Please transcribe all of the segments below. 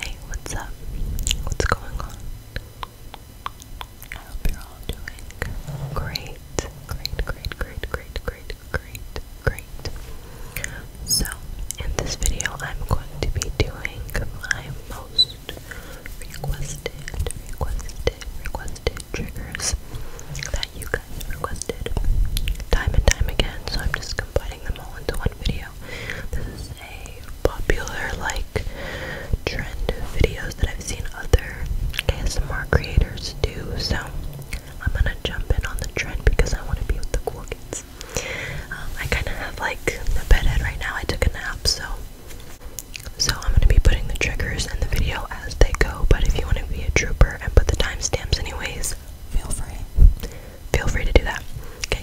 Hey, what's up? What's going on? I hope you're all doing great. Great, great, great, great, great, great, So, in this video, I'm going to be doing my most requested, requested, requested triggers that you guys requested time and time again. So, I'm just combining them all into one video. This is a popular like trend of videos that I've seen other ASMR creators do. So I'm gonna jump in on the trend because I want to be with the cool kids. Um, I kind of have like the bedhead right now. I took a nap, so so I'm gonna be putting the triggers in the video as they go. But if you want to be a trooper and put the timestamps anyways, feel free. Feel free to do that. Okay,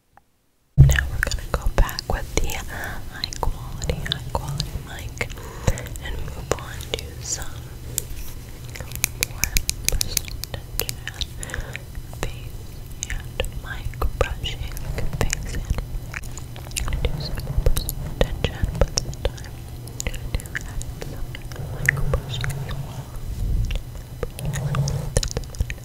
Now we're gonna go back with the high quality, high quality mic and move on to some more personal face and mic brushing, face and do some attention, but time to do some mic brushing as well.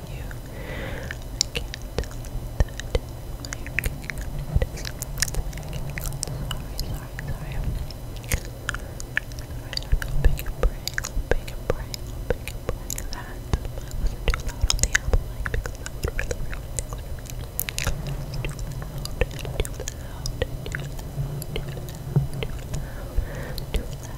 you. I can't tell you that my hair getting cold. Sorry, sorry, I'm hoping praying, hoping praying, hoping praying that I wasn't too loud on the apple because that would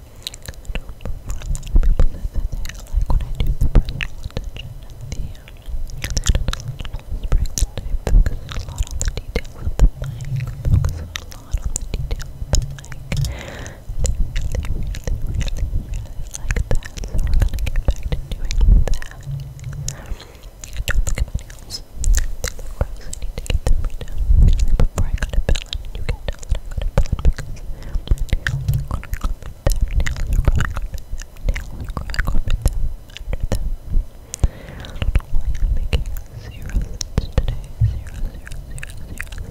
I do for a lot of people that they like when I do the personal attention the um, spring I focus a lot on the details of the mic, focus a lot on the details of the mic. I really, really, really, really like that, so we're gonna get doing that. Um, don't look at my nails. They look before I got a villain, and you can tell that I got a villain because my nails are going to go with their nails are going to go with their nails are going to go with them under them. I don't know why I'm making zero cents today, zero, zero, zero, zero,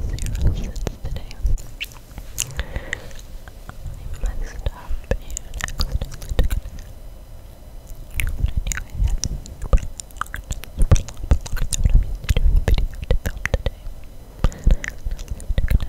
zero cents today. I messed up and accidentally took an but I knew I had super long, super long, super long, so what I'm used to doing video to film today. I keep getting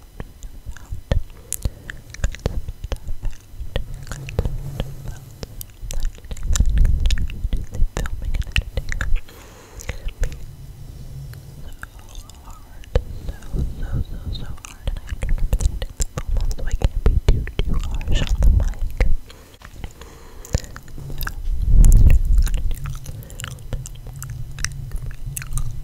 so hard, and I have to remember that I did the full month, so I can't be too, too harsh on the mic.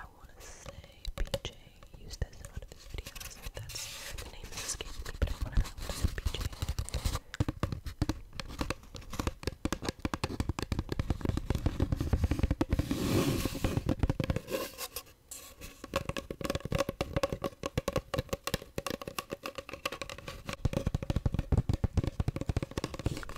I wanna say PJ used this in one of his videos. that's the name that's escaping me, but I wanna know PJ.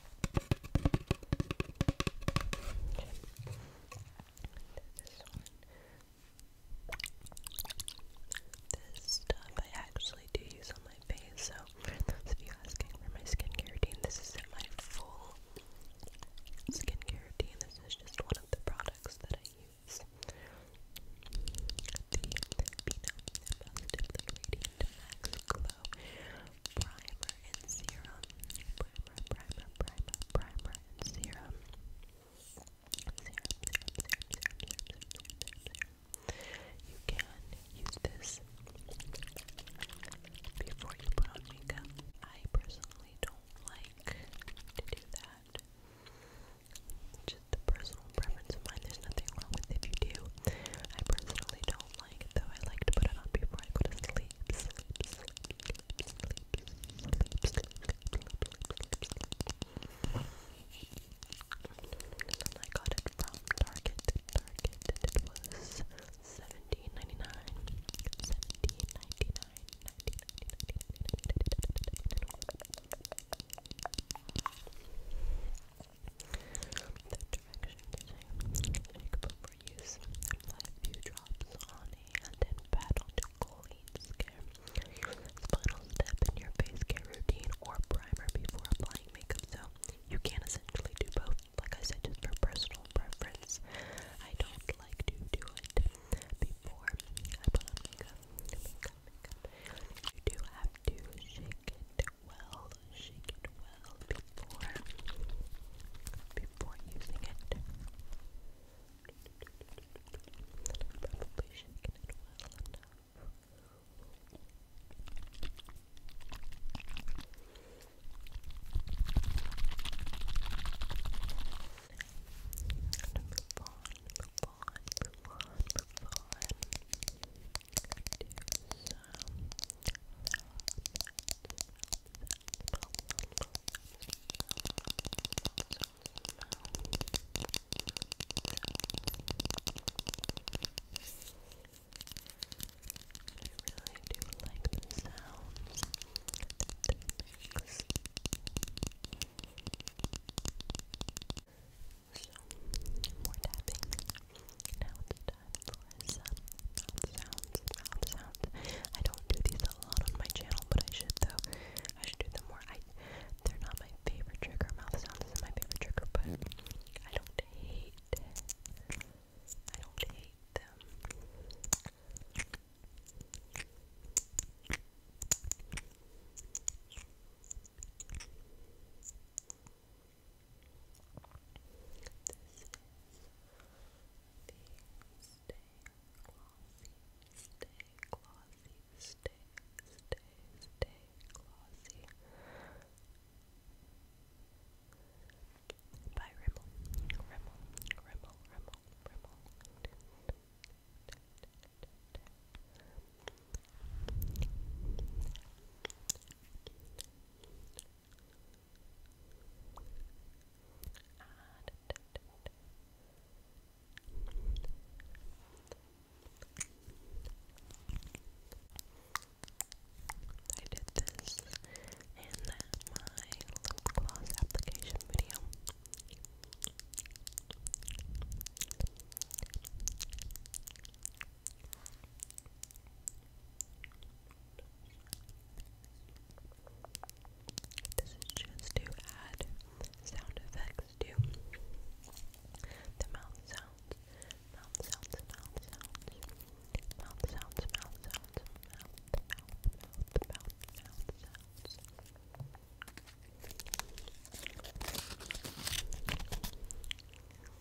This stuff I actually do use on my face, so for those of you asking for my skincare routine, this isn't my full skincare routine, this is just one of the products that I use. The Beano Positively Radiant Max Glow primer and serum. Primer, primer, primer, primer and serum. Serum, serum, serum, serum, serum, serum, serum, serum. You can use this before you put on makeup. I personally don't like to do that. Just a personal preference of mine. There's nothing wrong with it if you do. I personally don't like, though I like to put it on before I go to sleep. I got it from Target. it was seventeen ninety nine. Seventeen ninety nine use. a few drops on a and then pat onto choline skin. Final step in your face care routine or primer before applying makeup, though you can essentially do both. Like I said, just for personal preference, I don't like to do it before I makeup. You do have to shake it it well, shake it well before before using it. probably shaking it well enough. And move on, move on, move on, move like the sounds So, more tapping. Now it's time time for mouth sounds, mouth sounds. I don't do these a lot on my channel, but I should though. I should do them more. I they're not my favorite trigger. Mouth sounds isn't my favorite trigger, but I don't hate I don't hate them by Rimmel, Rimmel, Rimmel, Rimmel, Rimmel. Rimmel, I did this in my lip application video. This is just to add sound effects to the mouth sounds, mouth sounds, mouth sounds, mouth sounds, mouth sounds, mouth, sounds. Mouth sounds, mouth sounds,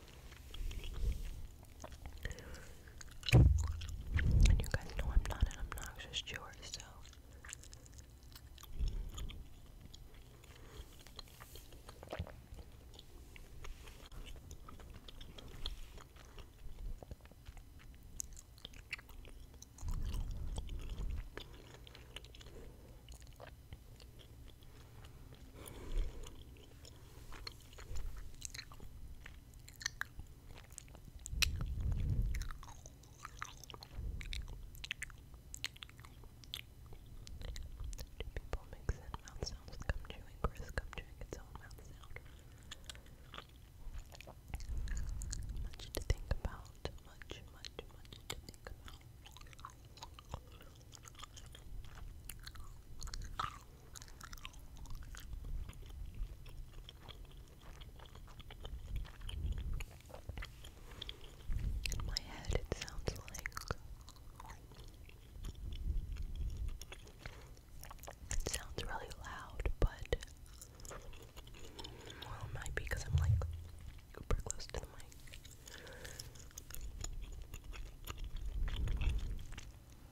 And you guys know I'm not an obnoxious chewer, so. Do people make sense mouth sounds come chewing? Chris come chewing its own mouth sound. Much to think about. Much, much, much to think about. In my head, it sounds like it sounds really loud, but well, it might be because I'm like super close to the mic.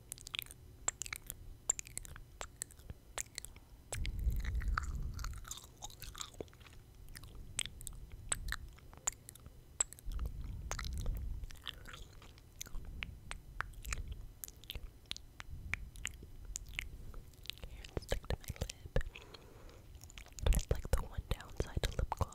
It's stuck to my lip. It's like the one downside to lip gloss.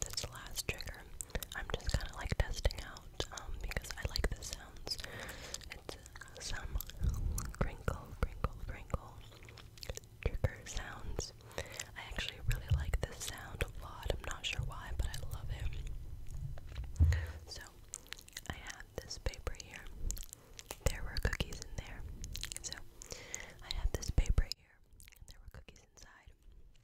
this last trigger, I'm just kind of like testing out um, because I like the sounds. It's uh, some crinkle, crinkle, crinkle trigger sounds. I actually really like this sound a lot. I'm not sure why, but I love it. So I have this paper here. There were cookies in there. So I have this paper here. And there were cookies inside.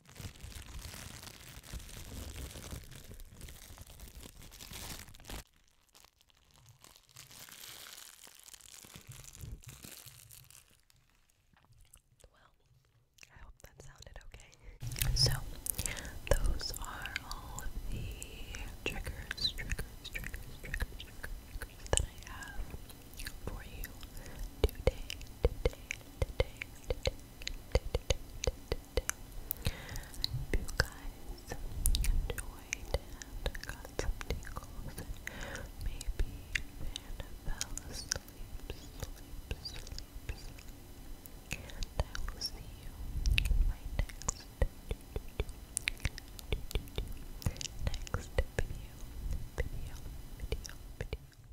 Well, I hope that sounded okay. So, those are all of the triggers, triggers, triggers, triggers, that I have for you today, today, today, today, hope you guys enjoyed and got some tingles and maybe even fell asleep, sleep, sleep, sleep. And I will see you in my next next video, video, video, video.